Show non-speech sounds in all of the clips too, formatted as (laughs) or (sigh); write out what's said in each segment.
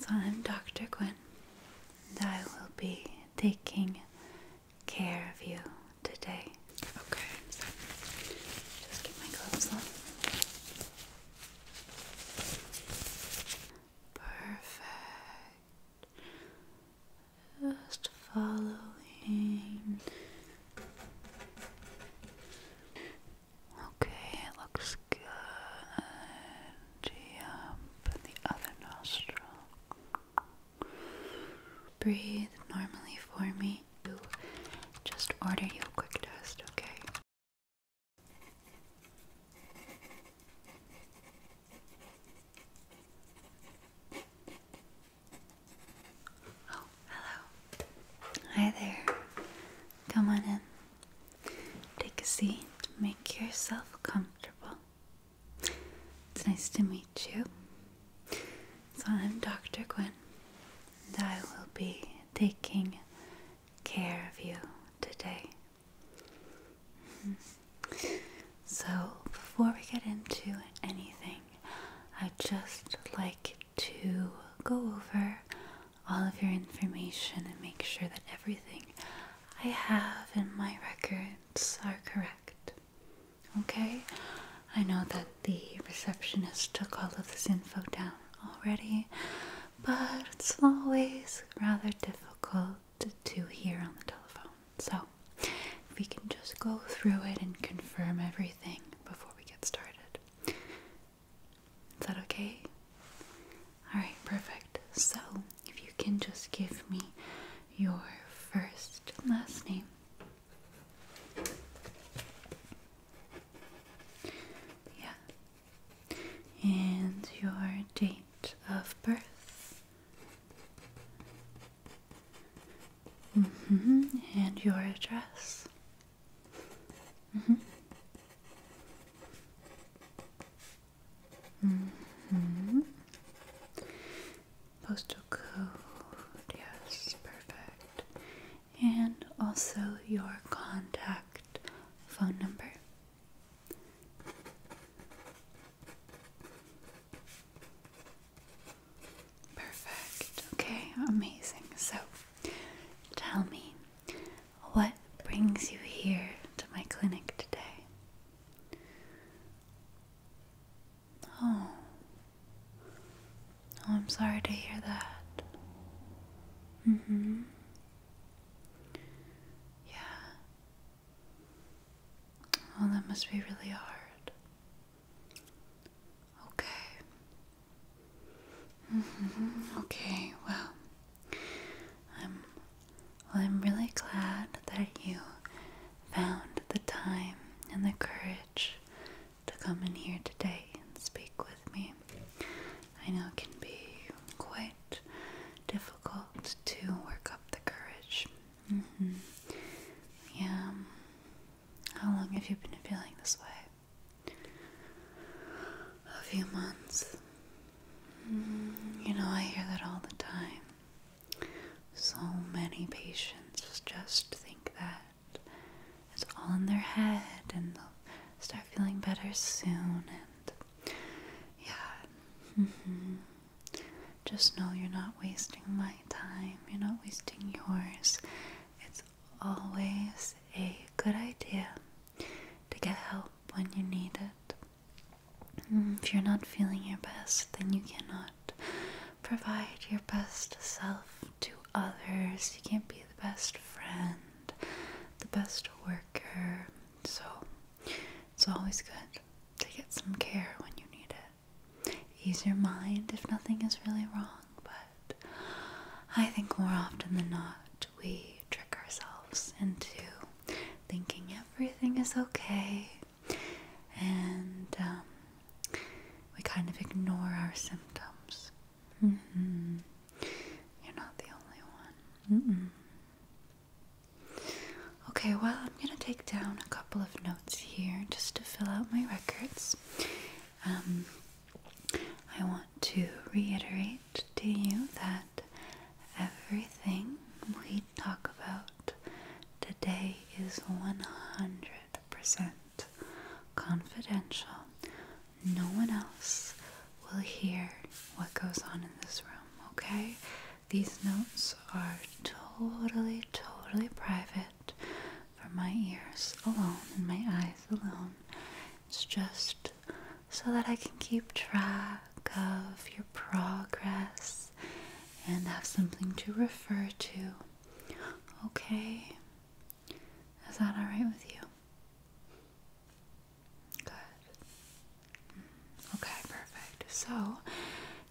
So, I'm Dr. Quinn, and I will be taking care of you today. Okay, just get my gloves on. Perfect. Just following Okay, it looks good. Yep, and the other nostril. Breathe normally for me. Just order you quick test, okay? Oh, hello. Hi there. Come on in. Take a seat, make yourself comfortable. It's nice to meet you. So, I'm Dr. Quinn, and I will be taking care of you today. So, before we get into anything, I'd just like to go over all of your information and make sure that everything I have in my records are correct. Okay? I know that the receptionist took all of this info down already, but it's always rather difficult to hear on the telephone. So, we can just go through it and confirm everything before we get started. Is that okay? Alright, perfect. So, if you can just give me your first and last name. Yeah. And your date of birth. Mm-hmm. And your address. Mm-hmm. Mm-hmm. Postal code, yes, perfect. And also your contact phone number. Perfect. Okay, amazing. So tell me, what brings you here to my clinic today? Oh. Oh, I'm sorry to hear that. Mm hmm. Yeah. Oh, that must be really hard. Okay. Mm -hmm. Okay, well, I'm I'm really glad that you found the time and the courage to come in here today and speak with me. I know it can be quite difficult to work up the courage. Mm -hmm. Yeah. Um, how long have you been feeling this way? A few months you know, I hear that all the time. So many patients just think that it's all in their head and they'll start feeling better soon. And yeah, mm-hmm. just know you're not wasting my time, you're not wasting yours. It's always a good idea to get help when you need it. Mm, if you're not feeling your best, then you cannot provide your best self to others. You can't be the best friend, the best worker. So it's always good to get some care when you need it. Ease your mind if nothing is really wrong, but I think more often than not, we trick ourselves into thinking everything is okay and um, we kind of ignore our symptoms. You're not the only one. Okay, well, I'm going to take down a couple of notes here just to fill out my records. Um, I want to reiterate to you that everything we talk about today is 100% confidential. No one else will hear what goes on in this room, okay? These notes are totally, totally private for my ears alone and my eyes alone. It's just so that I can keep track of your progress and have something to refer to. Okay? Is that alright with you? Good. Mm, okay, perfect. So,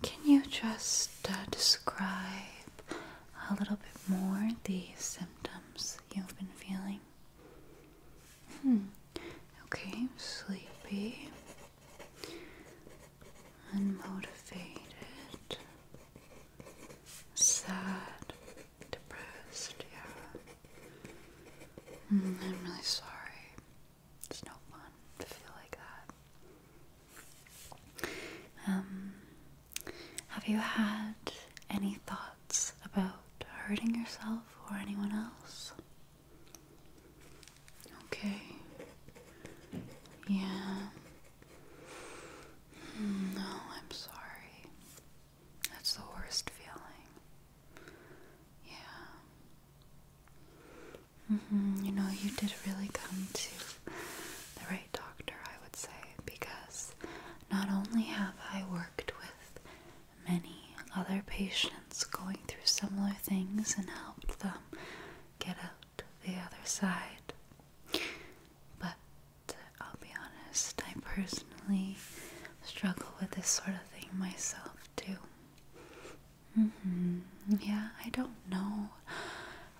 can you just uh, describe a little bit more the symptoms you've been feeling? Hmm. Okay, sleepy. Unmotivated. Sad. Depressed, yeah. Hmm, I'm really sorry. It's no fun to feel like that. Um, have you had any thoughts? thoughts about hurting yourself or anyone else? Okay. Yeah. Hmm, no, I'm sorry. That's the worst feeling. Yeah. Mm-hmm, you know, you did really come to the right doctor, I would say, because not only have I worked with many other patients going through similar things and helped them get out the other side. But I'll be honest, I personally struggle with this sort of thing myself too. Mm-hmm. Yeah, I don't know.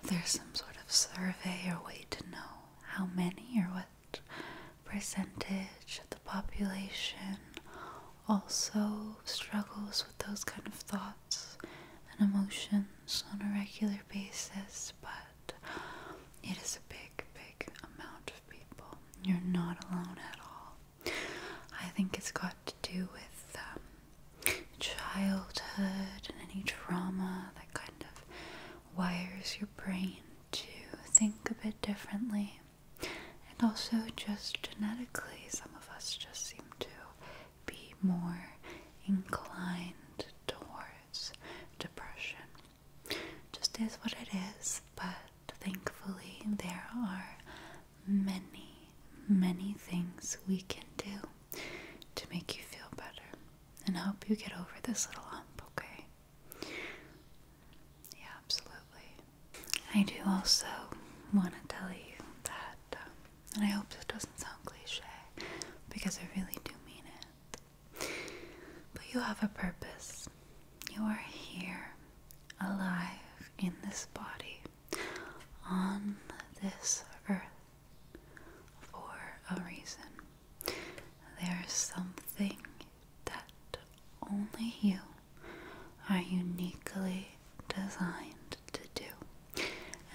There's some sort of survey or way to know how many or what percentage of the population also struggles with those kind of thoughts and emotions on a regular basis, but it is a big, big amount of people. You're not alone at all. I think it's got to do with um, childhood and any trauma that kind of wires your brain to think a bit differently. And also, just genetically, some of us just seem to be more inclined towards depression. Just is what it is, but thankfully, there are many, many things we can do to make you feel better and help you get over this little hump, okay? Yeah, absolutely. I do also want to tell you that, um, and I hope this doesn't sound cliche because I really do mean it, but you have a purpose. You are here, alive in this body, on this earth, for a reason. There is something that only you are uniquely designed to do.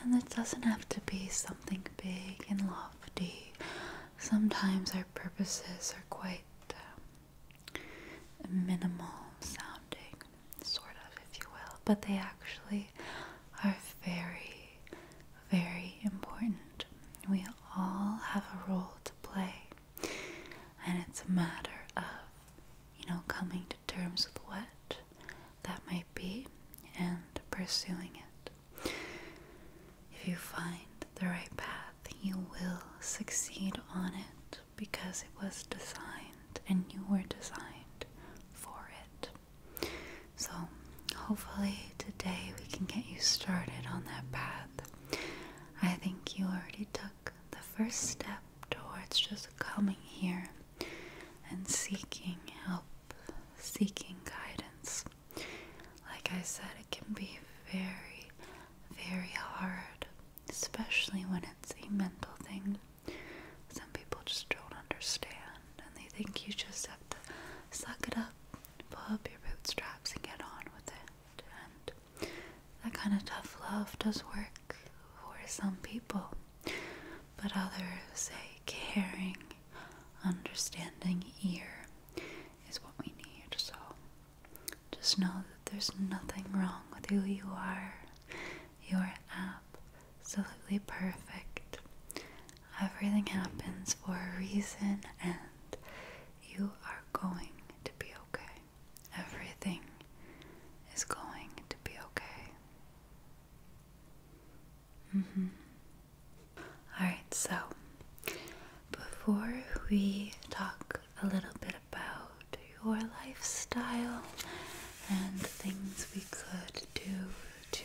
And it doesn't have to be something big and lofty. Sometimes our purposes are quite um, minimal sounding, sort of, if you will, but they actually are very, very important. We all have a role to play and it's a matter of, you know, coming to terms with what that might be and pursuing it. If you find the right path, you will succeed on it because it was designed and you were designed for it. So, hopefully, today we can get you started on that path I think you already took the first step towards just coming here and seeking help, seeking guidance. Like I said, it can be very, very hard, especially when it's a mental thing. Some people just don't understand and they think you just have to suck it up, pull up your bootstraps, and get on with it. That kind of tough love does work for some people, but others, a caring, understanding ear is what we need. So just know that there's nothing wrong with who you are. You are absolutely perfect. Everything happens for a reason, and you are going to be okay. Everything is going to be okay. Mm-hmm. Alright, so before we talk a little bit about your lifestyle and things we could do to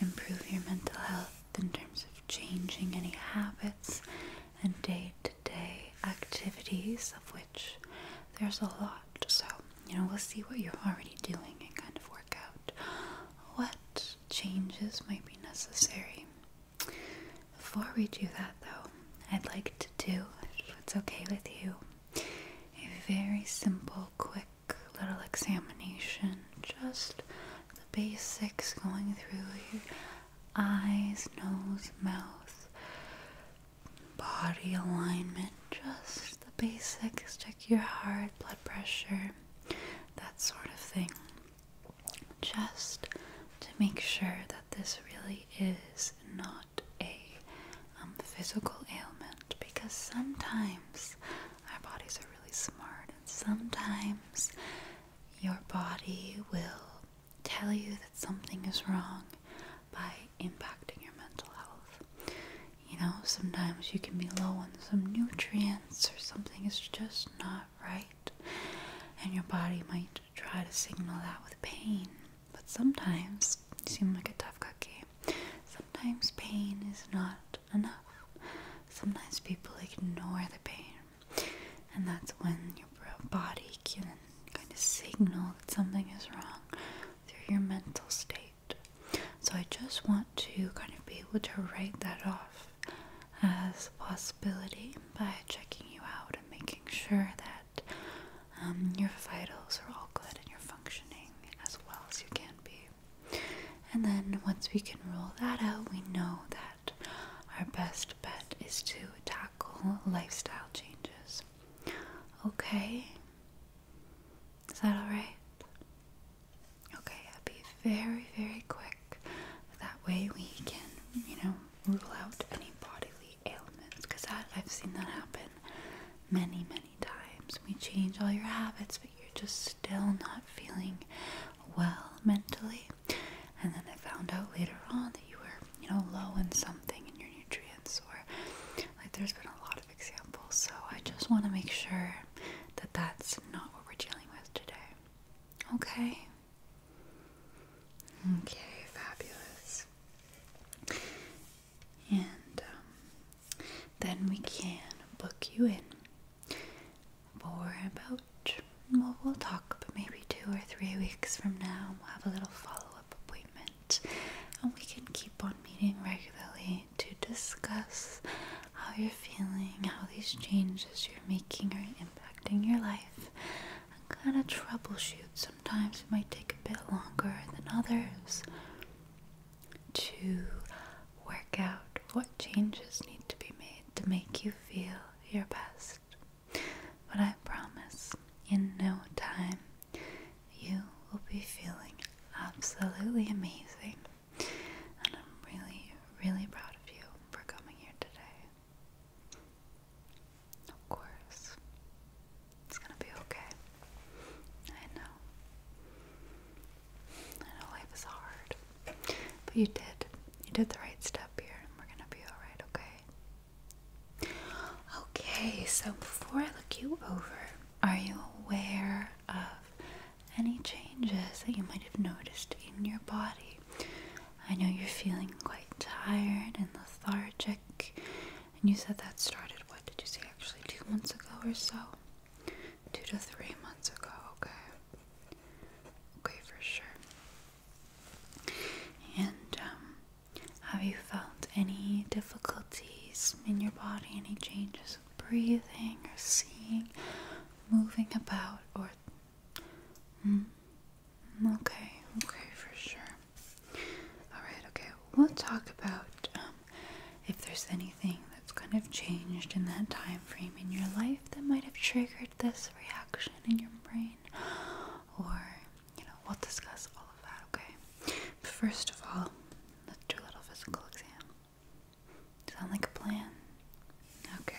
improve your mental health in terms of changing any habits and day to day activities, of which there's a lot. So, you know, we'll see what you're already doing and kind of work out what changes might be necessary. Before we do that, though, I'd like to do, if it's okay with you, a very simple, quick little examination. Just the basics going through your eyes, nose, mouth, body alignment, just the basics. Check your heart, blood pressure, that sort of thing. Just to make sure that this really is not a um, physical ailment because sometimes our bodies are really smart and sometimes your body will tell you that something is wrong by impacting your mental health. You know, sometimes you can be low on some nutrients or something is just not right, and your body might try to signal that with pain. But sometimes you seem like a tough cookie. Sometimes pain is not enough. Sometimes people ignore the pain and that's when your body can kind of signal that something is wrong through your mental state. So I just want to kind of be able to write that off as a possibility by checking you out and making sure that um, your vitals are all good and you're functioning as well as you can be. And then once we can rule that out, we know that our best bet is to tackle lifestyle changes. Okay? Is that alright? Okay, I'll be very, very quick. That way we can, you know, rule out any bodily ailments. Because I've seen that happen many, many times. We change all your habits, but you're just still not feeling well mentally and then I found out later on that you were, you know, low in something in your nutrients, or like there's been a lot of examples. So I just want to make sure that that's not what we're dealing with today. Okay. Okay, fabulous. And um, then we can book you in more about well, we'll talk, but maybe two or three weeks from now, we'll have a little follow up appointment, and we can keep on meeting regularly to discuss how you're feeling, how these changes you're making are impacting your life, and kind of troubleshoot. Sometimes it might take a bit longer than others to work out what changes need to be made to make you feel your best. But I promise, in no time, you will be feeling absolutely amazing. And I'm really, really proud of you for coming here today. Of course, it's gonna be okay. I know. I know life is hard. But you did. You did the right step here, and we're gonna be alright, okay? Okay, so before I look you over, are you aware of any changes that you might have noticed in your body? I know you're feeling quite tired and lethargic, and you said that started, what did you say, actually, two months ago or so? Two to three months ago, okay? Okay, for sure. And um, have you felt any difficulties in your body, any changes breathing or seeing, moving about, or. Hmm? okay, okay, for sure. Alright, okay, we'll talk about um, if there's anything that's kind of changed in that time frame in your life that might have triggered this reaction in your brain, or you know, we'll discuss all of that, okay? first of all, let's do a little physical exam. Sound like a plan? Okay.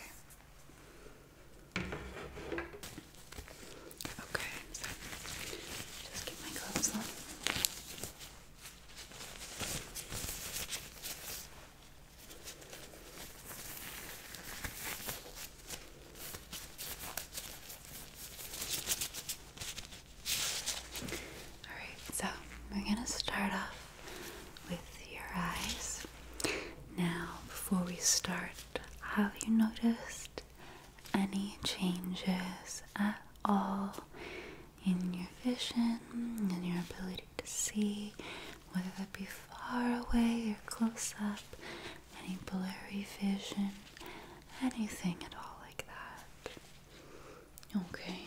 Okay, just get my gloves on. Alright, so we're going to start off with your eyes. Now, before we start, have you noticed any changes at all in your vision, and your ability to see? whether that be far away or close up, any blurry vision, anything at all like that. Okay.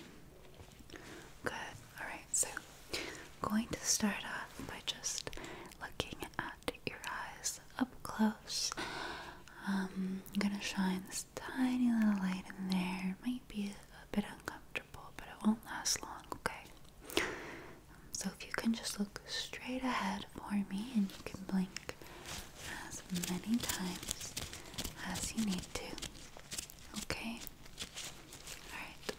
Good. Alright, so I'm going to start off by just looking at your eyes up close. Um, I'm gonna shine this tiny little light in there. It might be a bit uncomfortable, but it won't last long, okay? So if you can just look straight ahead for me and you can blink as many times as you need to. Okay? Alright.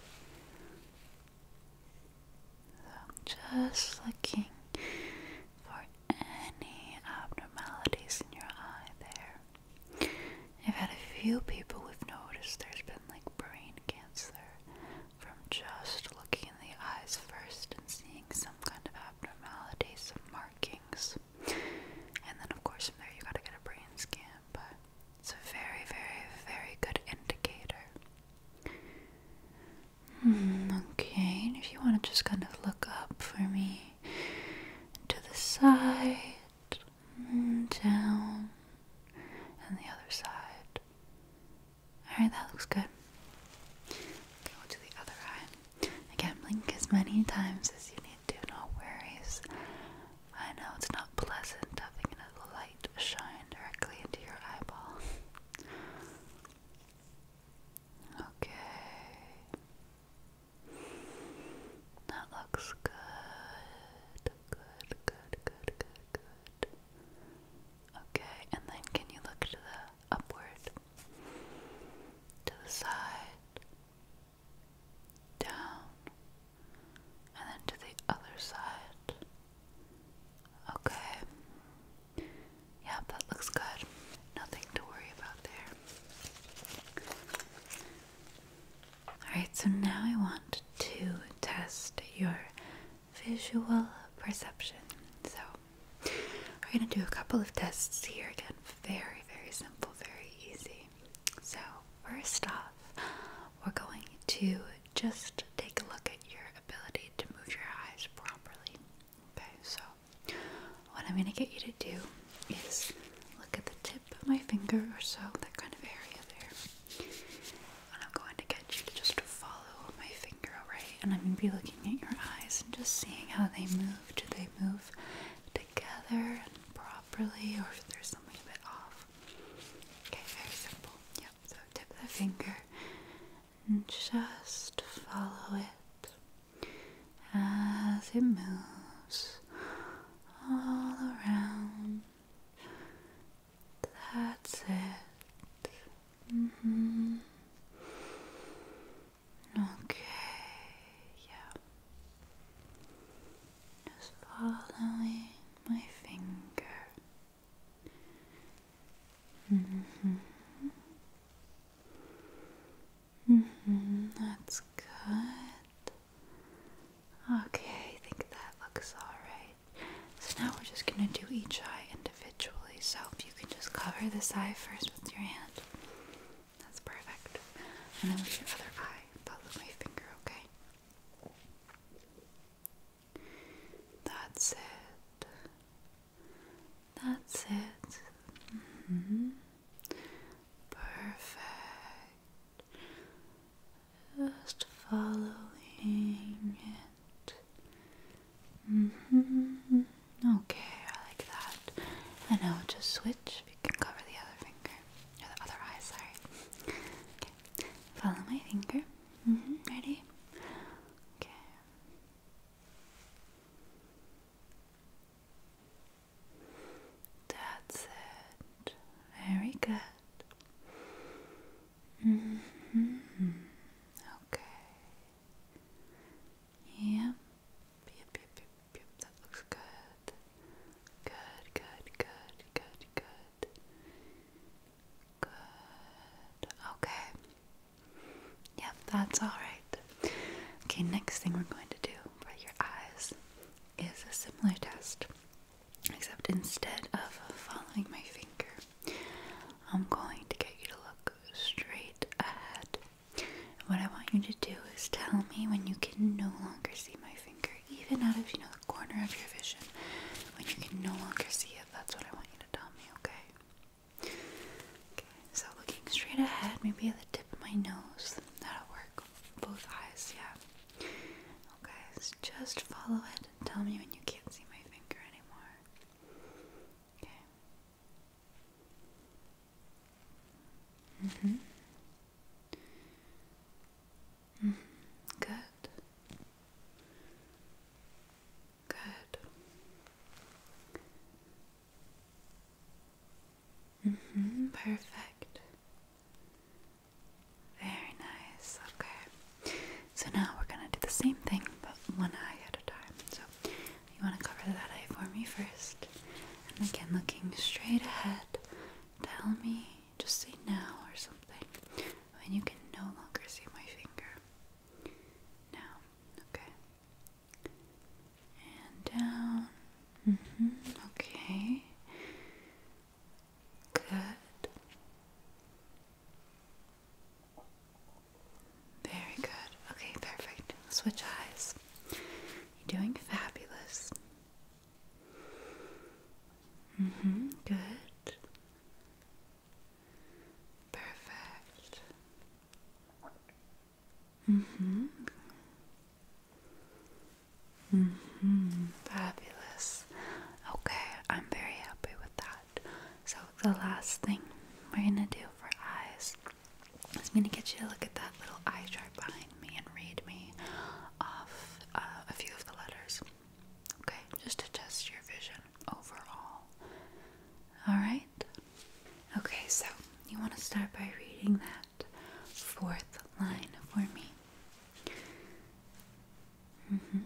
So just looking for any abnormalities in your eye there. I've had a few people who've noticed there's been like brain cancer from just looking in the eyes first and seeing some kind of abnormalities, some markings. And then, of course, from there, you gotta get a brain scan, but it's a very, very, very good indicator. Hmm, okay, if you want to just kind of look up for me to the side, hmm, down, and the other side. Alright, that looks good. Okay, we the other eye. Again, blink as many times as you need to, no worries. I know it's not pleasant having a light shine directly into your eyeball. Okay. That looks good. Good, good, good, good, Good. Okay, and then can you look to the upward, to the side, down, and then to the other side. Okay. Yeah, that looks good. Nothing to worry about there. Alright, so now I want to test your visual perception. So we're going to do a couple of tests here again. Very, very simple, very easy. So, first off, we're going to just take a look at your ability to move your eyes properly. Okay, so what I'm going to get you to do is look at the tip of my finger or so, that kind of area there. And I'm going to get you to just follow my finger, alright? And I'm going to be looking at your eyes and just seeing how they move. Do they move together and properly, or if there's something a bit off? Okay, very simple. Yep, so tip the finger and just follow it as it moves all around that's it. Mm-hmm. Okay, yeah. Just following my finger. -hmm. -hmm. That's good. Okay, I think that looks alright. So now we're just going to do each eye individually. So you can just cover this eye first with your hand. That's perfect. And then with your other eye, follow my finger, okay? That's it. That's it. Mm-hmm. Perfect just following it. Mm hmm. Okay, I like that. And now will just switch. you can cover the other finger, or other eye, sorry. follow my finger. Mm-hmm. Ready? Okay. That's it. Very good. Mm-hmm. Okay. yep. That looks good. Good, good, good, good, good. Good. Okay. Yep, that's alright. Okay, next thing we're going to do for your eyes is a similar test. Except instead of following my finger, I'm going to get you to look straight ahead. what I want you to do is tell me when you can no longer see my finger, even out of you know the corner of your vision. When you can no longer see it, that's what I want you to tell me, okay? Okay, so looking straight ahead, maybe at the tip of my nose, that'll work. Both eyes, yeah. Okay, so just follow it Tell me when you can't see my finger anymore. Okay. hmm -hmm. Good. Good. hmm Perfect. Very nice. Okay. So now we're gonna do the same thing, but one eye at a time. So you wanna cover that eye for me first, and again looking straight ahead. Tell me, just say now or something, when you can no longer see my finger. Now, okay. And down. Mm-hmm, okay. Good. Very good. Okay, perfect. Switch eyes. You're doing fabulous. hmm Good. Perfect. hmm Mm Fabulous. Okay, I'm very happy with that. So, the last thing we're gonna do for eyes is gonna get you to look at that little eye chart behind me and read me off uh, a few of the letters. Okay, just to test your vision overall. Alright? Okay, so you want to start by reading that fourth line for me. Mm-hmm.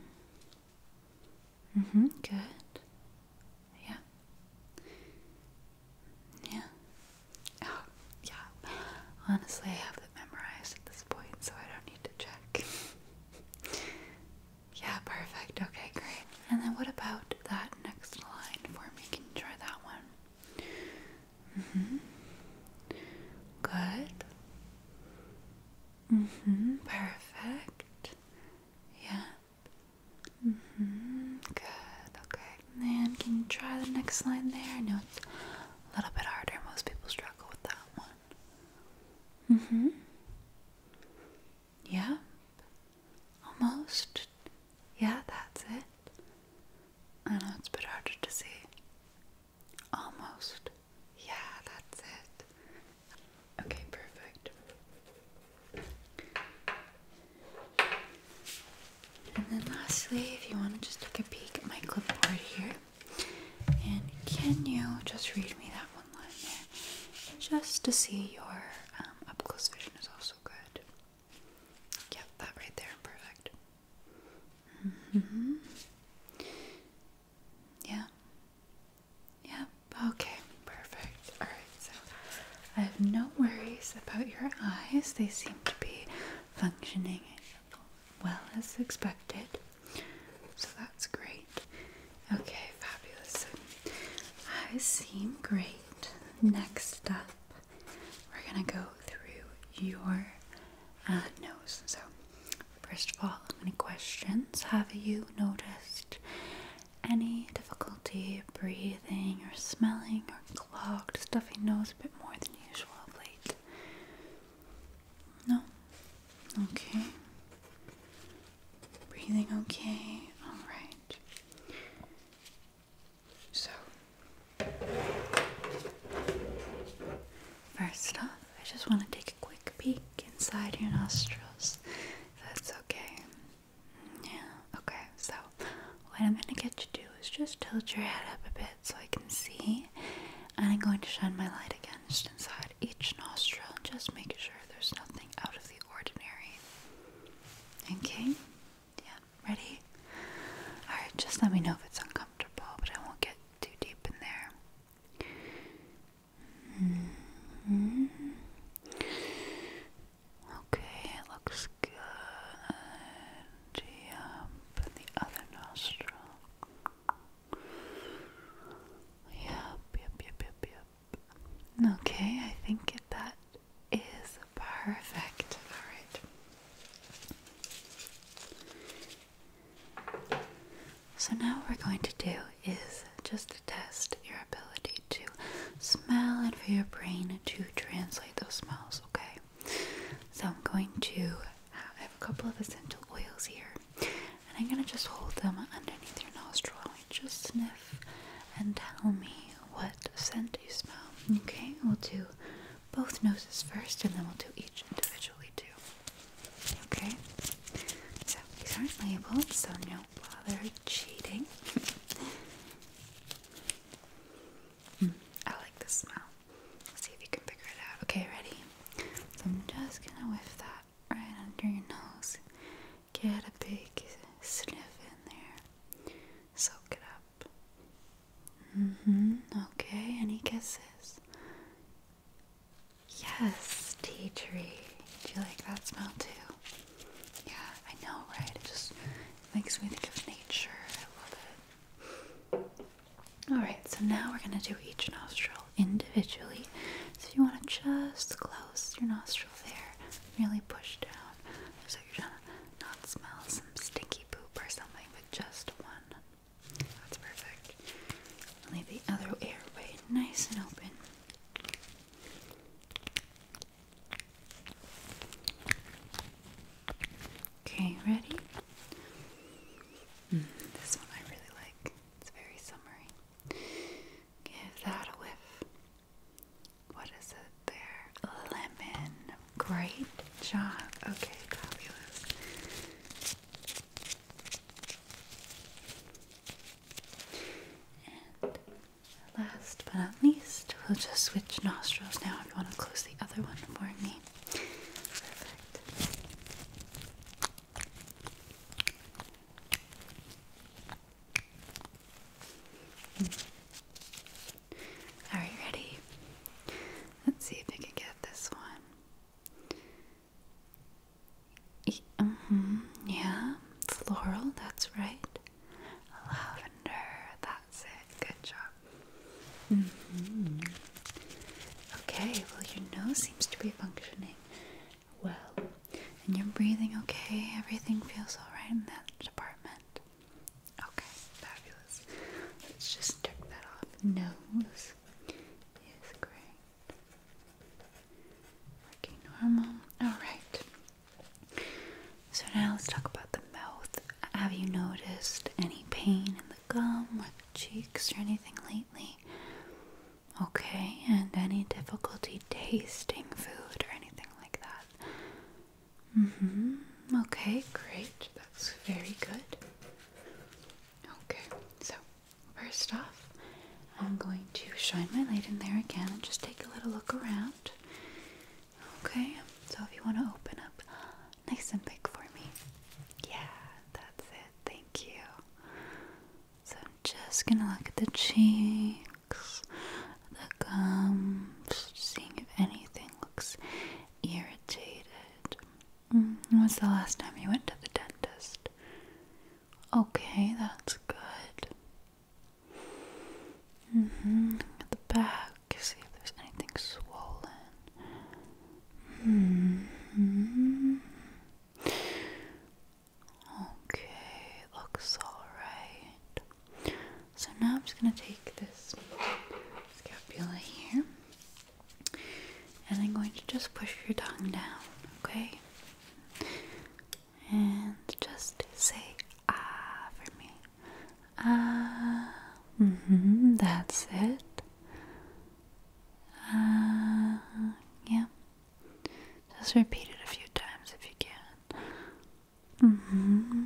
Mm-hmm. Good. Yeah. Yeah. Oh, yeah. Honestly, I have it memorized at this point, so I don't need to check. yeah, perfect. Okay, great. And then what about that next line for me? Can you try that one? Mm-hmm. Good. Mm-hmm. Perfect. Yep. Mm-hmm. Good. Okay. And can you try the next line there? I know it's a little bit harder. Most people struggle with that one. Mm-hmm. Yep. Almost. Yeah, that's it. I know it's a bit harder to see. Almost. Yeah, that's it. Okay, perfect. And then lastly, if you want to just take a peek at my clipboard here. And can you just read me that one line there? Just to see your um, up close vision is also good. Yep, that right there, perfect. Mm -hmm. Yeah. Yep. Okay. Perfect. All right. So I have no worries about your eyes. They seem to be functioning well as expected. So that's great. Okay. Fabulous. So eyes seem great. Next up, we're gonna go through your uh, nose. So First of all, any questions have you noticed? Any difficulty breathing or smelling or clogged, stuffy nose a bit more than usual of late? No? Okay. Breathing okay? Alright. So, first off, I just want to take a quick peek inside your nostrils. that's okay. Yeah, okay. So, what I'm going to get you to do is just tilt your head up a bit so I can see. And I'm going to shine my light again just inside each nostril. Just make sure there's nothing out of the ordinary. Okay? Yeah, ready? Alright, just let me know if it's uncomfortable, but I won't get too deep in there. Mm-hmm. Okay, it looks good. Yep, yep, yep, yep, yep. Okay, I think that is perfect. All right. So now what we're going to do is just to test your ability to smell and for your brain to translate those smells, okay? So I'm going to I have a couple of essential oils here. And I'm going to just hold them underneath your nostril and just sniff and tell me what scent you smell. Okay, we'll do both noses first and then we'll do each individually too. Okay, so these aren't labeled, so don't bother cheating. (laughs) Hmm, I like the smell. Let's see if you can figure it out. Okay, ready? So I'm just gonna whiff that right under your nose. Get a big sniff in there. Soak it up. hmm. Okay, any guesses? Yes, tea tree. Do you like that smell too? Yeah, I know, right? It just makes me think of nature. I love it. Alright, so now we're gonna do each nostril individually. So you wanna just close your nostril there, really push down. So you're trying to not smell some stinky poop or something, but just one that's perfect. Leave the other airway nice and open. Okay, ready? Hmm, this one I really like. It's very summery. Give that a whiff. What is it there? Lemon. Great job. Okay, fabulous last but not least, we'll just switch nostrils now if you want to close the other one for me. Perfect. Hmm. Alright, ready? Let's see if I can get this one. E mm mm-hmm, Yeah, floral, that's right. Lavender, that's it. Good job. Mm-hmm. Okay, well, your nose seems to be functioning well. And you're breathing okay? Everything feels alright in that department? Okay, fabulous. Let's just check that off. Nose face great. Working normal. Alright. So now let's talk about the mouth. Have you noticed any pain in the gum or the cheeks or anything lately? Okay, and any difficulty tasting food or anything like that? Mm-hmm. Okay, great. That's very good. Okay, so First off, I'm going to shine my light in there again and just take a little look around. Okay, so if you want to open up nice and big for me. Yeah, that's it. Thank you. So I'm just going to look at the cheeks, the gums, seeing if anything looks irritated. Mm, when's the last time you went to the dentist? Okay, that's good. Mm hmm. At the back, see if there's anything swollen. Mm hmm. Okay, looks alright. So now I'm just gonna take this scapula here and I'm going to just push your tongue down, okay? And just say ah for me. Ah, mm-hmm, that's it. Ah, yeah. Just repeat it a few times if you can. Mm-hmm.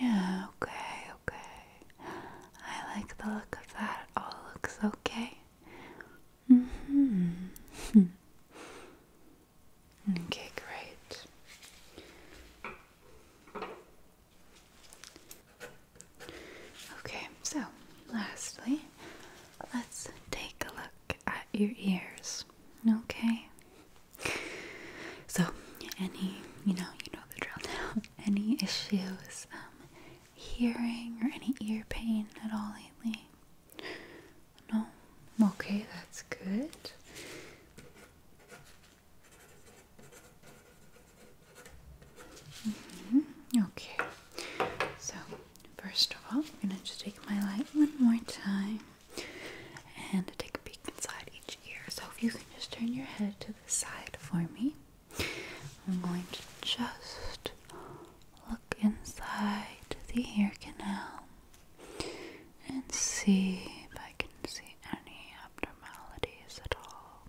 Yeah, okay, okay. I like the look of that. all looks okay. hmm (laughs) okay, great. Okay, so lastly, let's take a look at your ears. Okay. So, any, you know, you (laughs) Any issues um, hearing or any ear pain at all lately? No? Okay, that's good. Mm-hmm, okay, so first of all, I'm gonna just take my light one more time and take a peek inside each ear. So if you can just turn your head to the side for me. I'm going to just look inside the ear canal and see if I can see any abnormalities at all.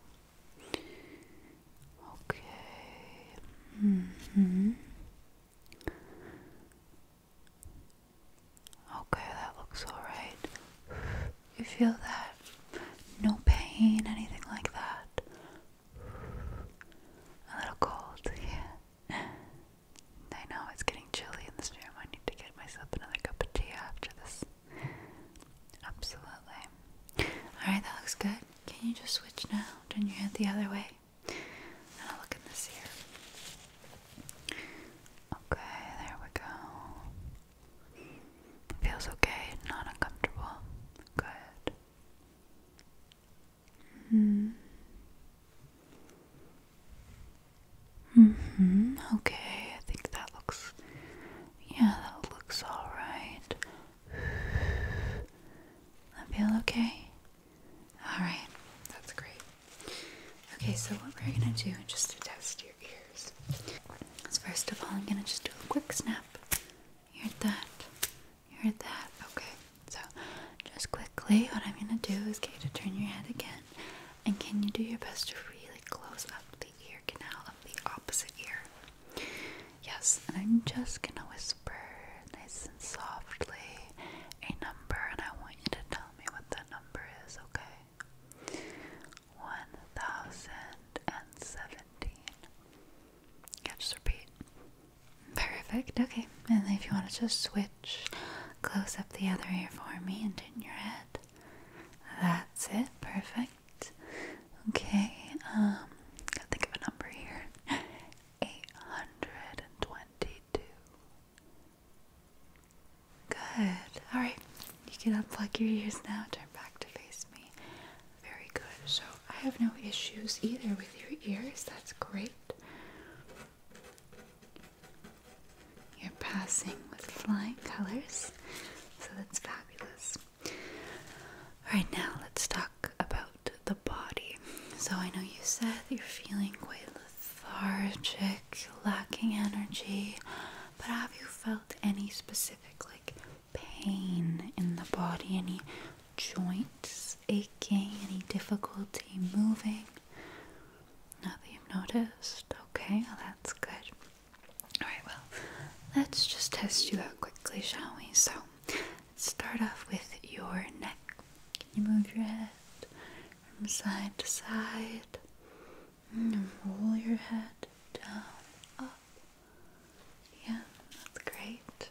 Okay. Mm-hmm. Okay, that looks alright. You feel that? No pain, anything like that. A little cold, yeah. I know it's getting chilly in this room. I need to get myself another cup of tea after this. Absolutely. Alright, that looks good. Can you just switch now? Turn your head the other way. And i look in this ear. Okay, there we go. Feels okay, not uncomfortable. Good. hmm. Mm-hmm. Okay, I think that looks. Yeah, that looks all right. I feel okay. All right, that's great. Okay, so what we're gonna do, just to test your ear. So first of all, I'm gonna just do a quick snap. You heard that? You heard that? Okay. So just quickly, what I'm gonna do is get you to turn your head again. And can you do your best to really close up the ear canal of the opposite ear? Yes, and I'm just gonna whisper nice and softly a number, and I want you to tell me what the number is, okay? one thousand and seventeen. You repeat. Perfect. Okay. And if you want to just switch, close up the other ear for me and in your head. That's it. Perfect. Okay. Um, think of a number here. (laughs) Eight hundred and twenty-two. Good. All right. You can unplug your ears now. Turn back to face me. Very good. So I have no issues either with your ears. That's great. You're passing with flying colors. So that's fabulous. Alright, now let's talk about the body. So I know you said you're feeling quite lethargic, lacking energy, but have you felt any specific like pain in the body, any joints aching, any difficulty moving. Now that you've noticed, okay, that's good. Alright, well, let's just test you out quickly, shall we? So, start off with your neck. Can you move your head from side to side? And roll your head down, up. Yeah, that's great.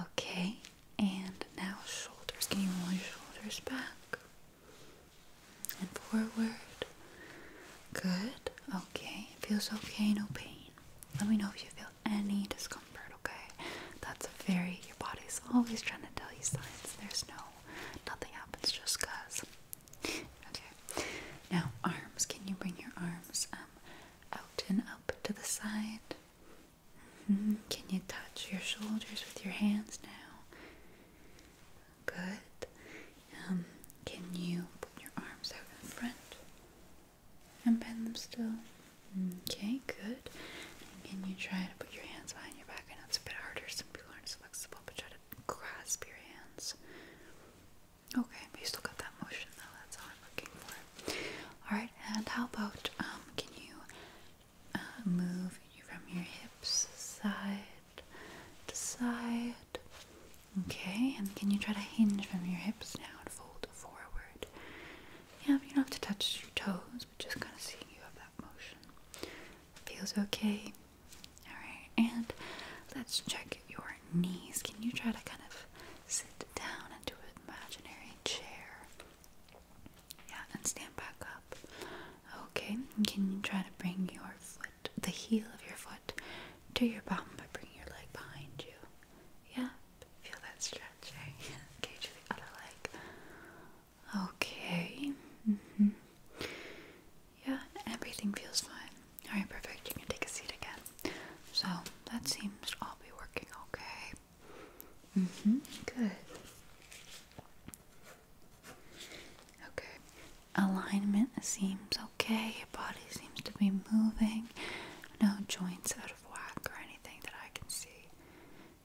Okay, and now shoulders. Can you roll your shoulders back and forward? Good. Okay, feels okay, no pain. Let me know if you feel any discomfort, okay? That's a very, your body's always trying to tell you signs. There's no, nothing happens just because. Okay. Now, arms. Can you bring your arms um, out and up to the side? Mm-hmm. Can you touch your shoulders with your hands now? Good. Um, can you put your arms out in front and bend them still? Okay, good. And can you try to put your hands behind your back? I know it's a bit harder. Some people aren't flexible, but try to grasp your hands. Okay, but you still got that motion though, that's all I'm looking for. Alright, and how about, um, can you uh, move you from your hips side to side? Okay, and can you try to hinge from your hips now and fold forward? Yeah, you don't have to touch your toes, but just kind of seeing you have that motion. Feels okay. Alright, and let's check your knees. Can you try to kind of sit down into an imaginary chair? Yeah, and stand back up. Okay, can you try to bring your foot, the heel of your foot, to your bum by bringing your leg behind you? Yeah, feel that stretch, right? (laughs) Okay, the other leg. Okay. Mm-hmm. Yeah, everything feels fine. Alright, perfect. You can take a seat again. So, that seems all be working okay. hmm. Good. Okay. Alignment seems okay. Your body seems to be moving. No joints out of whack or anything that I can see.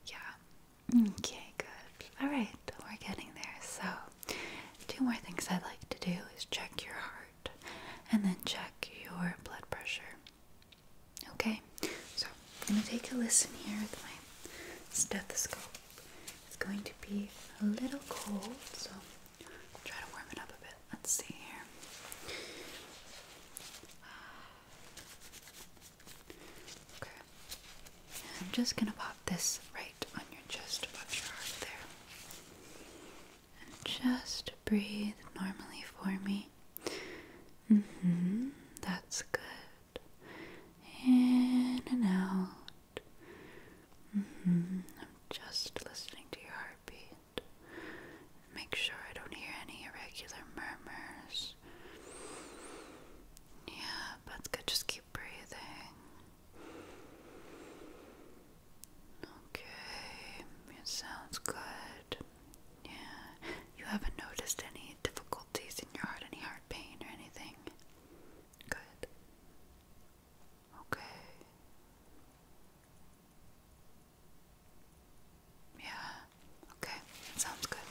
Yeah. Okay, good. Alright, we're getting there. So, Two more things I would like to do is check your heart and then check your blood pressure. Okay, so I'm going to take a listen here with my stethoscope. It's going to be a little cold, so I'll try to warm it up a bit. Let's see here. (sighs) Okay, I'm just going to pop this right on your chest above your heart there. And just breathe normally for me. Mm hmm. That's good. In and out. Mm-hmm, I'm just listening to your heartbeat. Make sure I don't hear any irregular murmurs. Yeah, but good. Just breathing. Okay, it sounds good. Yeah, you haven't noticed any difficulties in your heart, any heart pain or anything? Good. Okay. Yeah, okay, that sounds good.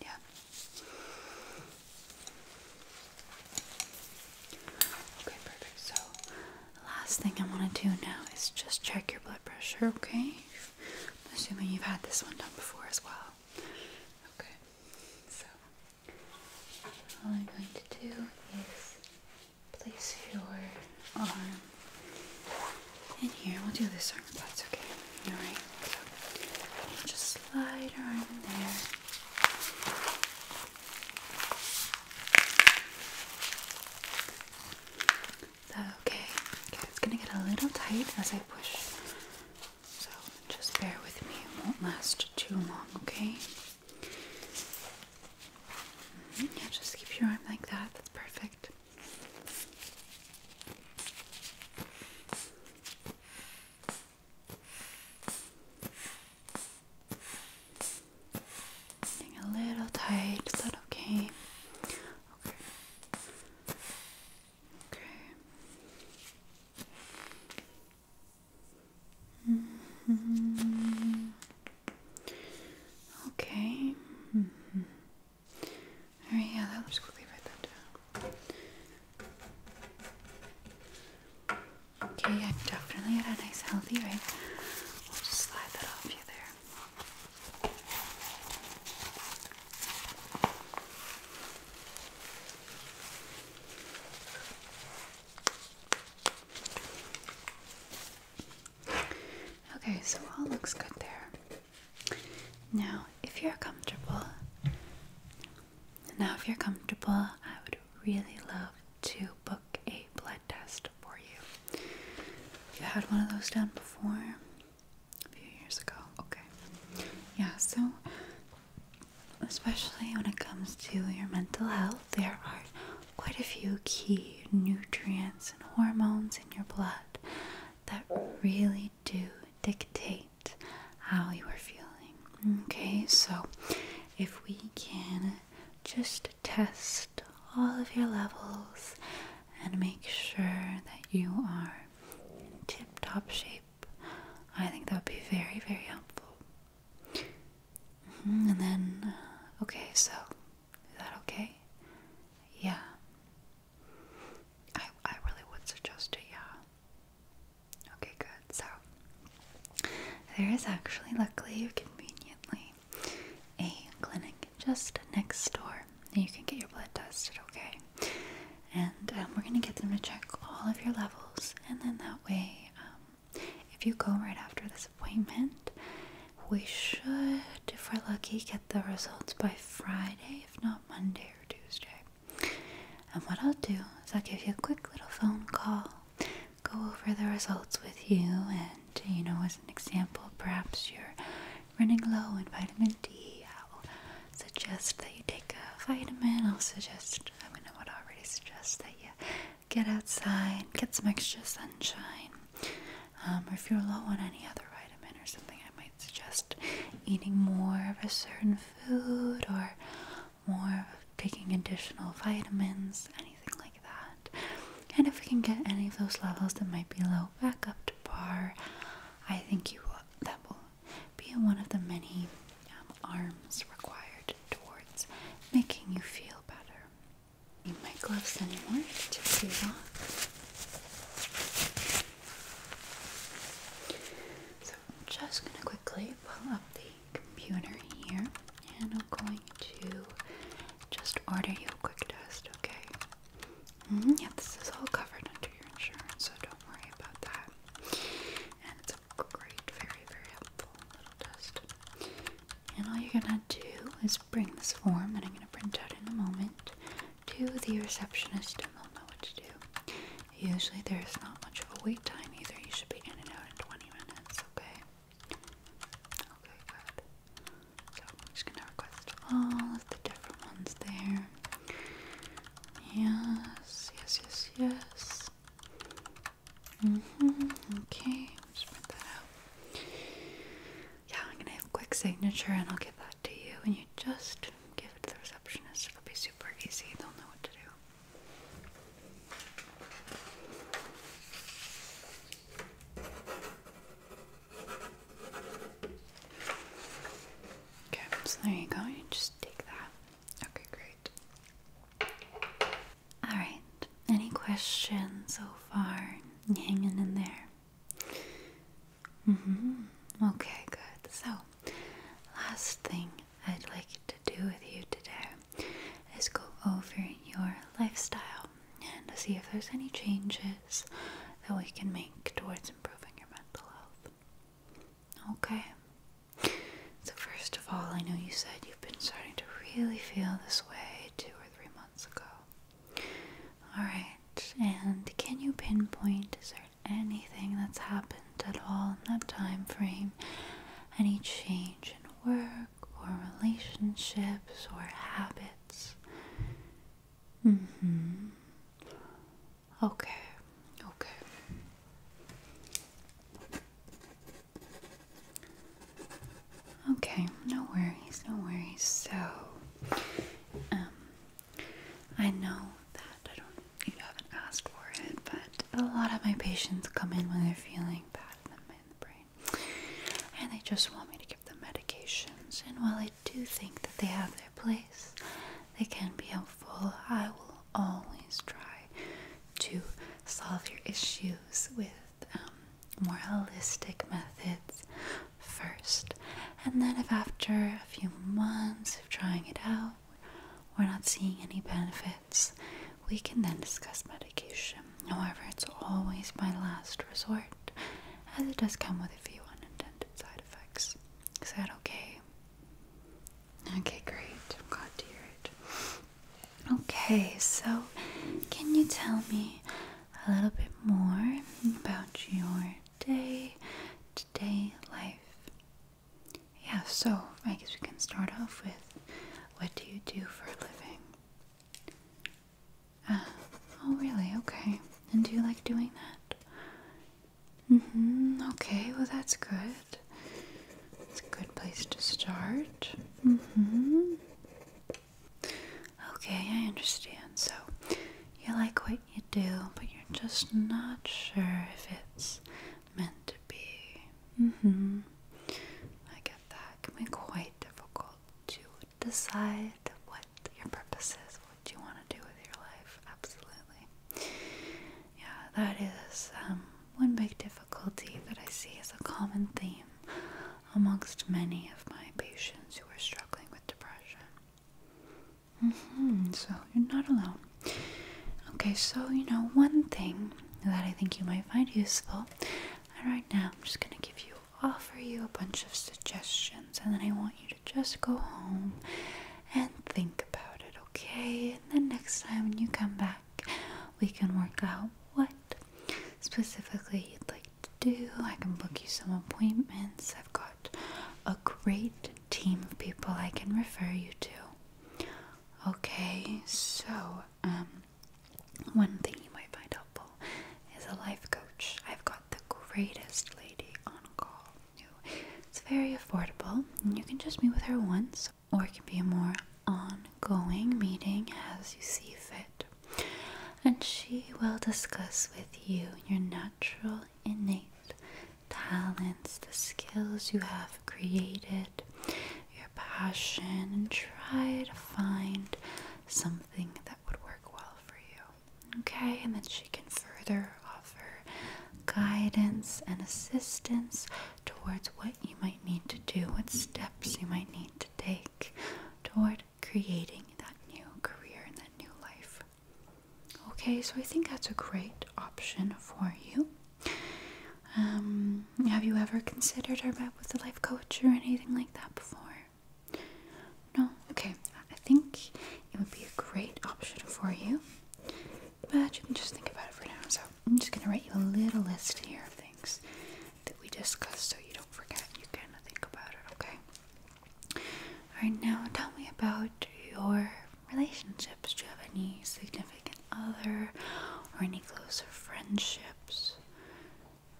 Yeah. Okay, perfect. So, the last thing I want to do now is just check your blood pressure, okay? assuming you've had this one done before as well. Okay, so all I'm going to do is place your arm in here. We'll do this arm, that's okay. Alright, so just slide your arm in there okay? it's gonna get a little tight as I push. So just bear with me, it won't last too long, okay? Mm-hmm, yeah, just keep your arm like that, that's perfect. Getting a little tight, is okay? Okay. Mm-hmm. Okay. -hmm. Okay. -hmm. All right, yeah, that will just quickly write that down. Okay, I'm definitely at a nice healthy rate. I'll just slide that off you there. Okay, so all looks good there. Now, if you're comfortable, now, if you're comfortable, I would really love to book a blood test for you. You had one of those done before a few years ago. Okay. Yeah, so especially when it comes to your mental health, there are quite a few key nutrients and hormones in your blood that really do dictate how you are feeling. Okay, so if we can just test all of your levels and make sure that you are in tip top shape, I think that would be very, very helpful. Mm-hmm, and then, uh, okay, so is that okay? Yeah. I, I really would suggest it, yeah. Okay, good. So there is actually, luckily, conveniently, a clinic just next door. And you can get your blood tested, okay? And um, we're gonna get them to check all of your levels, and then that way, um, if you go right after this appointment, we should, if we're lucky, get the results by Friday, if not Monday or Tuesday. And what I'll do is I'll give you a quick little phone call go over the results with you and you know as an example perhaps you're running low in vitamin D I'll suggest that you take a vitamin I'll suggest I mean I would already suggest that you get outside get some extra sunshine um, or if you're low on any other vitamin or something I might suggest eating more of a certain food or more taking additional vitamins, anything like that. And if we can get any of those levels that might be low back up to par, I think you will, that will be one of the many um, arms required towards making you feel better. Need my gloves anymore to off. So just gonna quickly pull up the computer here and I'm going to just order you a quick test, okay? Mm Yeah, this is all covered under your insurance, so don't worry about that. And it's a great, very, very helpful little test. And all you're gonna do is bring this form that I'm gonna print out in a moment to the receptionist and they'll know what to do. Usually there's not much of a wait time either. You should be in and out in 20 minutes, okay? Okay, good. So I'm just gonna request all of the different ones there. Yes, yes, yes, yes. Mm-hmm. Okay, print that out. Yeah, I'm gonna have quick signature and I'll give that to you and you just give it the receptionist. It'll be super easy. They'll know what to do. Okay, so there you go. You just take that. Okay, great. Alright, any questions so far? hanging in there? Mm-hmm. Okay, good. So, last thing I'd like to do with you today is go over your lifestyle and see if there's any changes that we can make towards improving your mental health. Okay. So, first of all, I know you said you've been starting to really feel this way two or three months ago. Alright, and can you pinpoint is there anything that's happened at all in that time frame, any change in work or relationships or habits. hmm. Okay, okay. Okay, no worries, no worries. So, um, I know that I don't, you haven't asked for it, but a lot of my patients come in when they're feeling bad in the, brain and they just want me to give them medications. And while I do think that they have their place, they can be helpful. I will always try to solve your issues with um, more holistic methods first. And then, if after a few months of trying it out, we're not seeing any benefit, we can then discuss medication. However, it's always my last resort, as it does come with a few unintended side effects. Is that okay? Okay, great. glad to hear it. Okay, so can you tell me a little bit more about your day to day life? Yeah, so I guess we can start off with what do you do for a living? Uh, oh, really? Okay. And do you like doing that? Mm-hmm. Okay, well, that's good. It's a good place to start. Mm-hmm. Okay, I understand. So, you like what you do, but you're just not sure if it's meant to be. Mm-hmm. I get that. can be quite difficult to decide what your purpose is, what you want to do with your life. Absolutely. Yeah, that is um, one big difficulty that I see as a common theme amongst many of my patients who are struggling with depression. Mm-hmm. So you're not alone. Okay, so you know, one thing that I think you might find useful, and right now I'm just gonna give you, offer you a bunch of suggestions, and then I want you to just go home and think about it, okay? And then next time when you come back, we can work out what specifically you'd like to do. I can book you some appointments. I've got a great team of people I can refer you to. Okay, so um, one thing you might find helpful is a life coach. I've got the greatest lady on call. it's very affordable, and you can just meet with her once, or it can be a more ongoing meeting as you see fit. And she will discuss with you your natural, innate talents, the skills you have created, your passion, and try to find something that would work well for you. Okay, and then she can further offer guidance and assistance towards what you might need to do, what steps you might need to take toward creating that new career and that new life. Okay, so I think that's a great option for you. Um, have you ever considered our bet with a life coach or anything like that before? No? Okay, I think it would be a great option for you, but you can just think about it for now. So I'm just going to write you a little list here of things that we discussed so you don't forget. You can think about it, okay? Alright, now tell me about your relationships? Do you have any significant other or any closer friendships?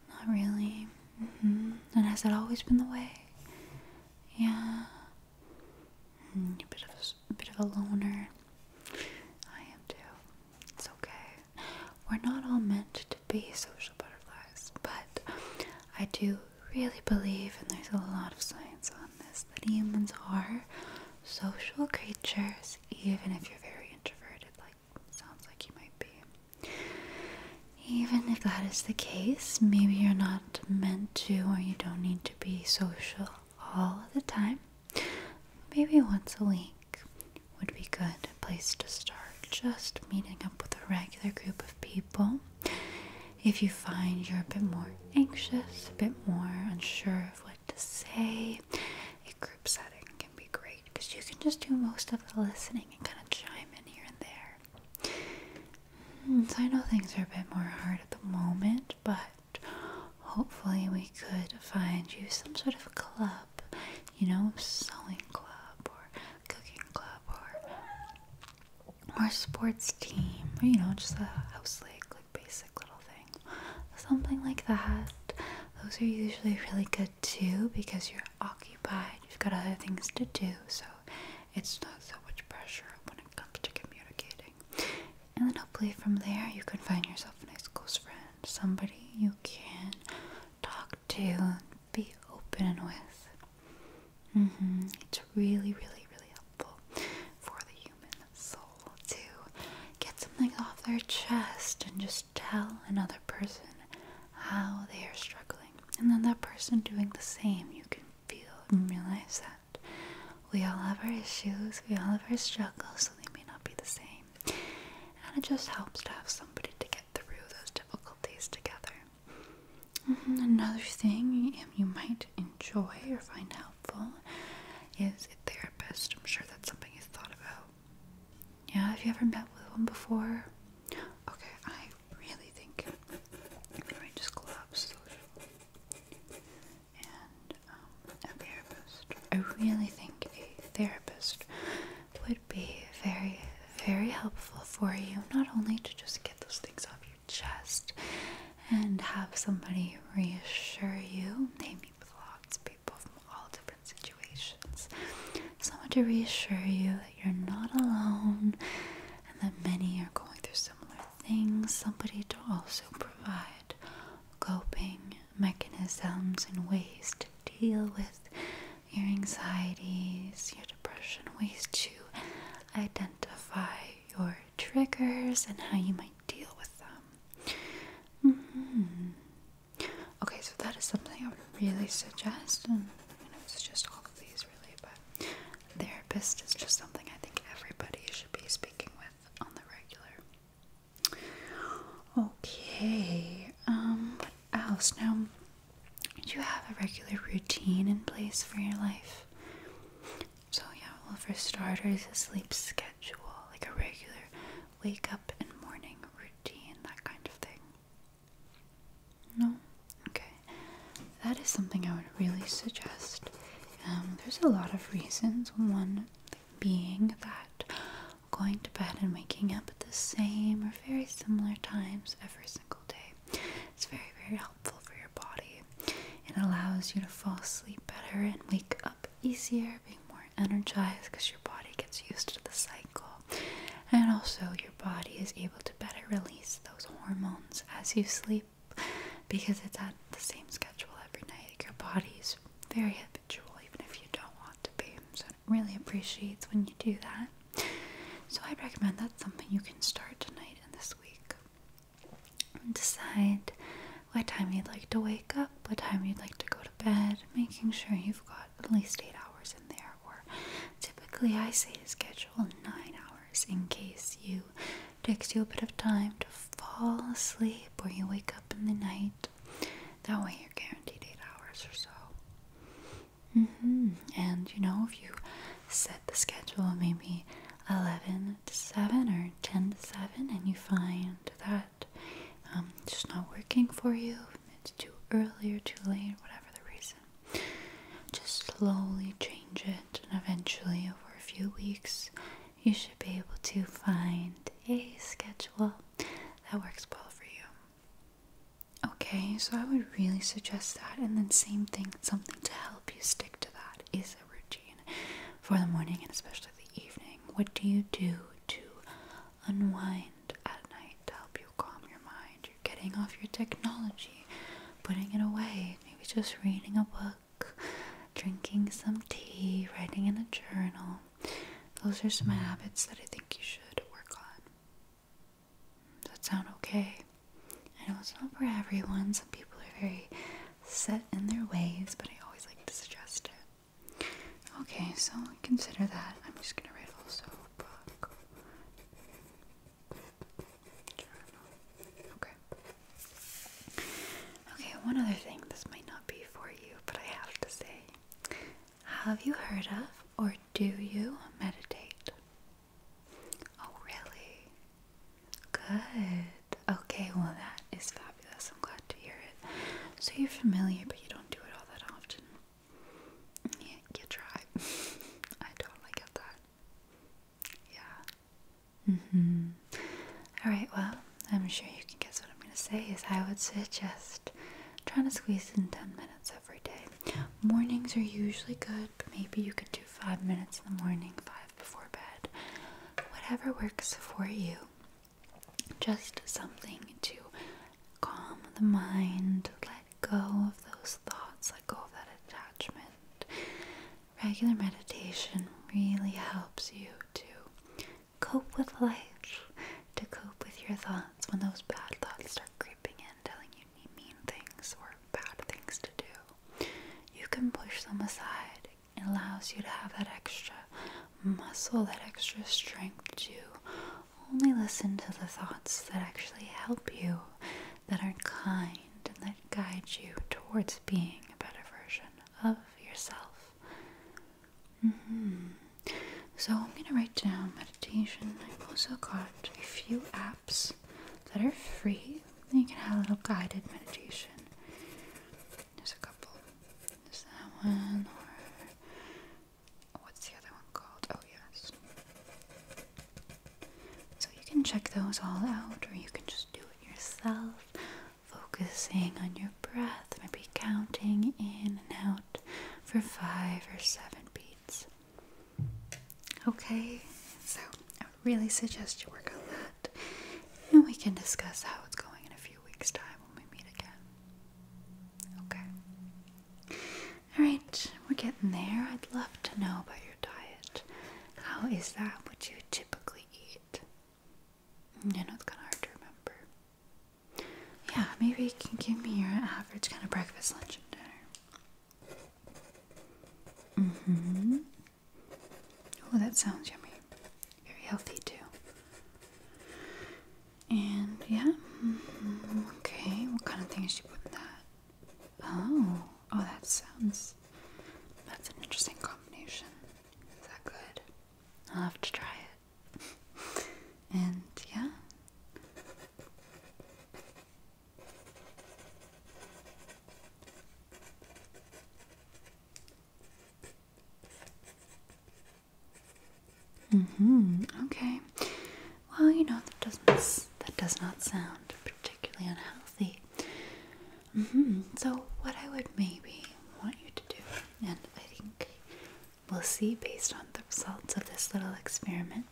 Not really. Mm-hmm. And has it always been the way? Yeah. a mm, bit of a, a bit of a loner. I am too. It's okay. We're not all meant to be social butterflies, but I do really believe, and there's a lot of science on this, that humans are social creatures, even if you're very introverted, like sounds like you might be. Even if that is the case, maybe you're not meant to or you don't need to be social all the time. Maybe once a week would be good place to start. Just meeting up with a regular group of people. If you find you're a bit more anxious, a bit more unsure of what to say, a group setting can be great because you can just do most of the listening and kind of chime in here and there. Hmm, so I know things are a bit more hard at the moment, but hopefully we could find you some sort of club, you know, sewing club or cooking club or or sports team or you know, just a house league like basic little thing. Something like that. Those are usually really good too because you're occupied, you've got other things to do, so it's not so much pressure when it comes to communicating. And then hopefully from there you can find yourself a nice close friend, somebody you can talk to and be open with. Mm-hmm. It's really, really, really helpful for the soul to get something off their chest and just tell another person how they are struggling. And then that person doing the same, you can feel and realize that we all have our issues, we all have our struggles, so they may not be the same. And it just helps to have somebody to get through those difficulties together. Mm-hmm. Another thing um, you might enjoy or find helpful is therapist. I'm sure that's something he's thought about. Yeah, have you ever met with one before? Okay, I really think I'm just collapse and um, a therapist. I really think a therapist would be very, very helpful for you, not only to just get those things off your chest and have somebody reassure you. They meet with lots of people from all different situations. Someone to reassure you that you're not alone and that many are going through similar things. Somebody to also provide coping mechanisms and ways to deal with your anxieties, your depression, ways to identify your triggers and how you might deal with them. Mm-hmm. Okay, so that is something I would really suggest, and I mean, I all of these really, but therapist is just something I think everybody should be speaking with on the regular. Okay, um, what else? Now, do you have a regular routine in place for your life? So, yeah, well, for starters, a sleep schedule, like a regular wake up and morning routine, that kind of thing. No? Okay. That is something I would really suggest. Um, there's a lot of reasons. One being that going to bed and waking up at the same or very similar times every single day it's very, very helpful for your body. It allows you to fall asleep better and wake up easier, being more energized because your body gets used to the cycle. And also, your body is able to better release those hormones as you sleep because it's at the same schedule every night. Your body's very habitual, even if you don't want to be. So, it really appreciates when you do that. So, i recommend that's something you can start tonight and this week decide what time you'd like to wake up, what time you'd like to go to bed, making sure you've got at least eight hours in there. Or typically, I say schedule nine hours in case you takes you a bit of time to fall asleep or you wake up in the night. That way, you're guaranteed eight hours or so. Mm-hmm. And you know, if you set the schedule maybe 11 to 7 or 10 to 7 and you find that um, it's just not working for you, it's too early or too late, whatever the reason, just slowly change it and eventually over a few weeks you should be able to find a schedule that works well for you. Okay, so I would really suggest that, and then, same thing, something to help you stick to that is a routine for the morning and especially the evening? What do you do to unwind at night to help you calm your mind? You're getting off your technology, putting it away, maybe just reading a book, drinking some tea, writing in a journal. Those are some hmm. habits that I think you should work on. Does that sound okay? I know it's not for everyone. Some people are very set in their ways, but I always like to suggest it. Okay, so consider that. I'm just gonna write also book. Okay. Okay, one other thing. This might not be for you, but I have to say. Have you heard of or do you meditate? Oh, really? Good. Okay, well, that is fabulous. I'm glad to hear it. So you're familiar, but you don't do it all that often. Yeah, you try. (laughs) I totally get that. Yeah. Mm hmm. Alright, well, I'm sure you can guess what I'm going to say is I would suggest trying to squeeze in 10 minutes every day. Mornings are usually good, but maybe you could do 5 minutes in the morning, 5 before bed. Whatever works for you. Just something to calm the mind, let go of those thoughts, let go of that attachment. Regular meditation really helps you to cope with life, to cope with your thoughts when those bad thoughts start creeping in, telling you mean things or bad things to do. You can push them aside, it allows you to have that extra muscle, that extra strength to only listen to the thoughts that actually help you, that are kind, and that guide you towards being a better version of yourself. Mm-hmm. So, I'm going to write down meditation. I've also got a few apps that are free. You can have a little guided meditation. There's a couple. There's that one, or what's the other one called? Oh, yes. So you can check those all out, or you can just do it yourself, focusing on your breath, maybe counting in and out for five or seven beats. Okay, so I really suggest you work on that. And we can discuss how it's going in a few weeks' time when we meet again. Okay. Alright, we're getting there. I'd love to know about your diet. How is that what you typically eat? You know, it's kind of hard to remember. Yeah, maybe you can give me your average kind of breakfast, lunch, and dinner. Mm hmm. Oh, that sounds yummy. Very healthy, too. And yeah, mm-hmm, okay, what kind of things you put in that? Oh, oh, that sounds that's an interesting combination. Is that good? I'll have to try it. (laughs) and yeah. Mm-hmm. Okay. Well, you know that doesn't that does not sound particularly unhealthy. Mm-hmm. So what I would maybe want you to do, and I think we'll see based on the results of this little experiment,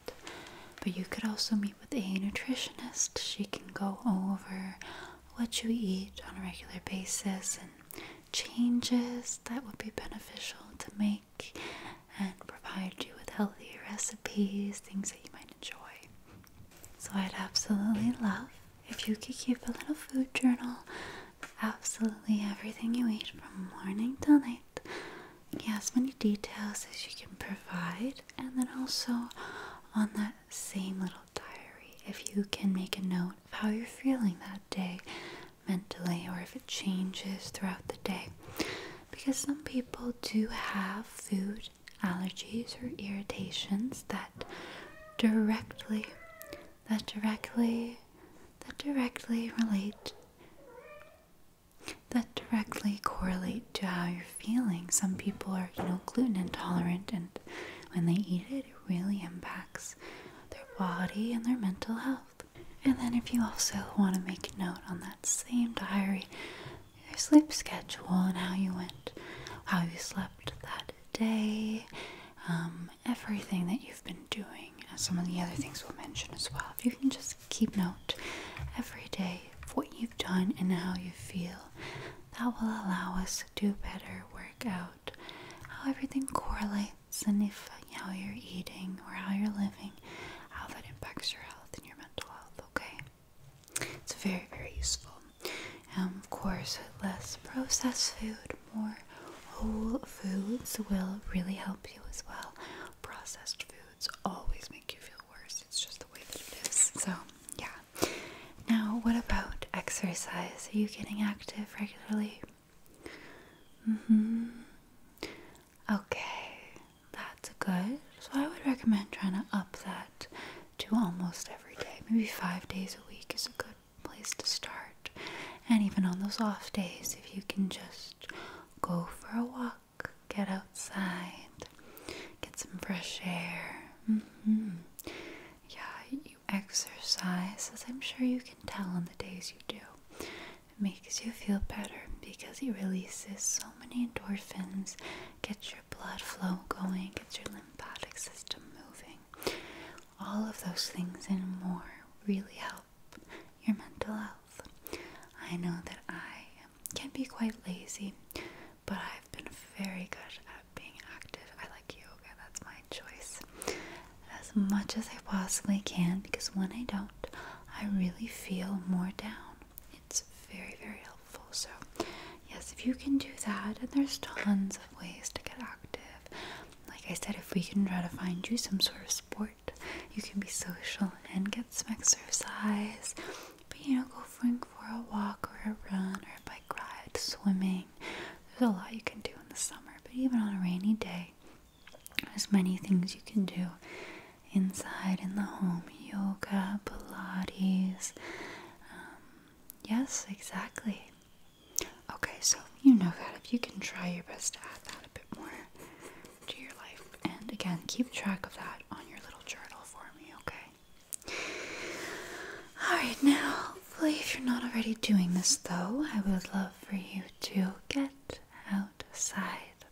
but you could also meet with a nutritionist. She can go over what you eat on a regular basis and changes that would be beneficial to make and provide you with healthy recipes, things that you might enjoy. So, I'd absolutely love if you could keep a little food journal absolutely everything you eat from morning till night. Yeah, as many details as you can provide, and then also on that same little diary if you can make a note of how you're feeling that day mentally or if it changes throughout the day. Because some people do have food allergies or irritations that directly that directly that directly relate that directly correlate to how you're feeling. Some people are, you know, gluten intolerant and when they eat it really impacts their body and their mental health. And then, if you also want to make note on that same diary, your sleep schedule and how you went, how you slept that day, um, everything that you've been doing, some of the other things we'll mention as well. If you can just keep note every day of what you've done and how you feel, that will allow us to do better work out how everything correlates and if how you're eating or how you're living, how that impacts your health and your mental health, okay? It's very, very useful. Um, of course, less processed food, more whole foods will really help you as well. Processed foods always make you feel worse. It's just the way that it is. So, yeah, now, what about exercise? Are you getting active regularly? Mm hmm. Okay, that's good. So, I would recommend trying to up that to almost every day. Maybe five days a week is a good place to start. And even on those off days, if you can just go for a walk, get outside, get some fresh air. Mm -hmm. Yeah, exercise, as I'm sure you can tell on the days you do, it makes you feel better because it releases so many endorphins, gets your blood flow going, gets your lymphatic system moving. All of those things and more really help your mental health. I know that I can be quite lazy, but I've been very good being active. I like yoga, that's my choice. As much as I possibly can because when I don't, I really feel more down. It's very, very helpful. So, yes, if you can do that, and there's tons of ways to get active. Like I said, if we can try to find you some sort of sport, you can be social and get some exercise. But you know, go for, for a walk or a run or a bike ride, swimming, there's a lot you can do in the summer, but even on a rainy day, there's many things you can do inside in the home yoga, Pilates. Um, yes, exactly. Okay, so you know that if you can try your best to add that a bit more to your life, and again, keep track of that on your little journal for me, okay? Alright, now, hopefully, if you're not already doing this, though, I would love for you to get outside,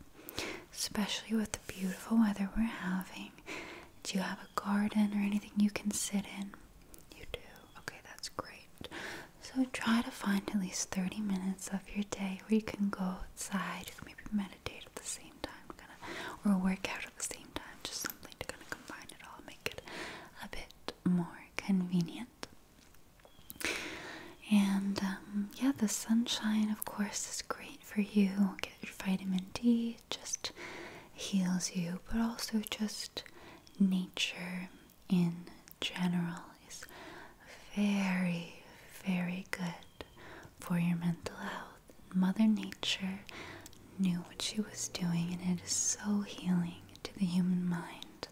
especially with the beautiful weather we're having. Do you have a garden or anything you can sit in? You do. Okay, that's great. So try to find at least 30 minutes of your day where you can go outside, you can maybe meditate at the same time, kind of, or work out at the same time, just something to kind of combine it all, make it a bit more convenient. And um, yeah, the sunshine, of course, is great for you. Get your vitamin D, just heals you, but also just nature in general is very, very good for your mental health. Mother Nature knew what she was doing, and it is so healing to the human mind,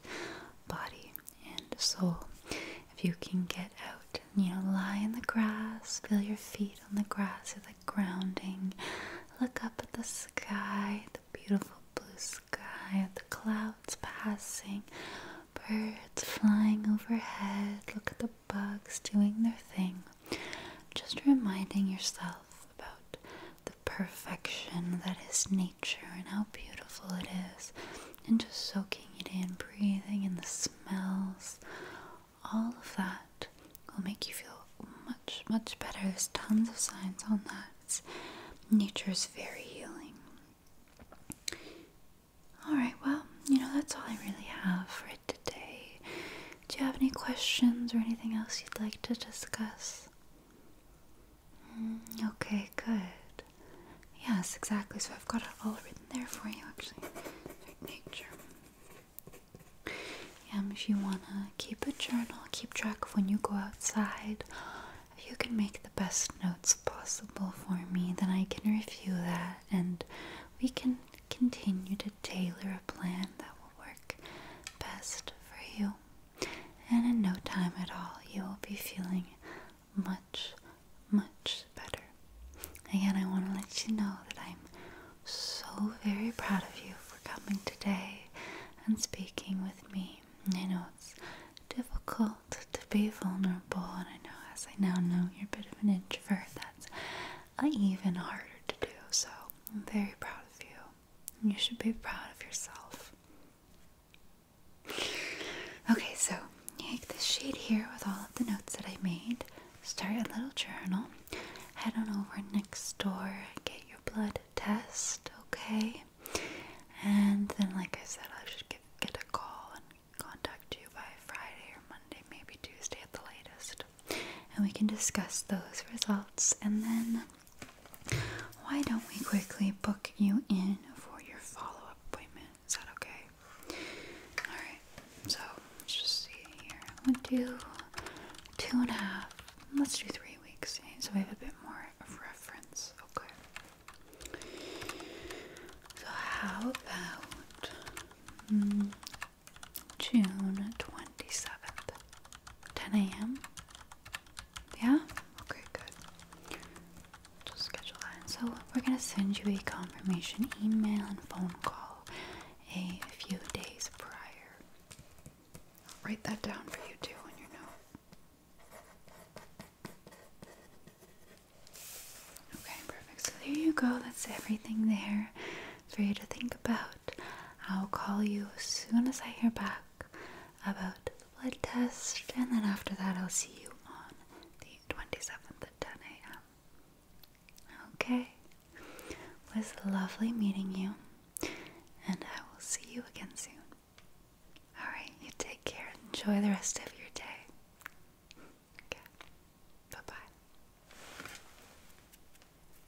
body, and soul. If you can get out, you know, lie in the grass, feel your feet on the grass, it's the grounding. Look up at the sky, the beautiful blue sky, the clouds passing, birds flying overhead. Look at the bugs doing their thing. Just reminding yourself about the perfection that is nature and how beautiful it is, and just soaking it in, breathing in the smells, all of that will make you feel much, much better. There's tons of science on that. It's, nature is very healing. Alright, well, you know, that's all I really have for it today. Do you have any questions or anything else you'd like to discuss? Mm, okay, good. Yes, exactly. So I've got it all written there for you, actually. Nature. Um, if you wanna keep a journal, keep track of when you go outside. If you can make the best notes possible for me, then I can review that and we can continue to tailor a plan that work best for you. And in no time at all, you will be feeling much, much better. Again, I want to let you know that I'm so very proud of you for coming today and speaking with me. I know it's difficult to be vulnerable, and I know as I now know you're a bit of an introvert, that's even harder to do. So I'm very proud of you you should be proud of yourself. Okay, so take this sheet here with all of the notes that I made. Start a little journal. Head on over next door, get your blood test, okay? And then, like I said, I should get, get a call and contact you by Friday or Monday, maybe Tuesday at the latest and we can discuss those results and then why don't we quickly book you in for your follow-up appointment? Is that okay? Alright, so let's just see here. I'm gonna do two and a half. Let's do three weeks eh? so we have a bit more of reference. Okay. So how about mm, June 27th, 10 a.m. Yeah? Okay, good. Just schedule that. so, we're going to send you a confirmation email and phone call a few days prior. I'll write that down for you too in your note. Okay, perfect. So, there you go. That's everything there for you to think about. I'll call you as soon as I hear back about the blood test, and then after that, I'll see you on the 27th at 10 a.m. Okay, it was lovely meeting you, and I will see you again soon. Alright, you take care. Enjoy the rest of your day. Okay, bye bye.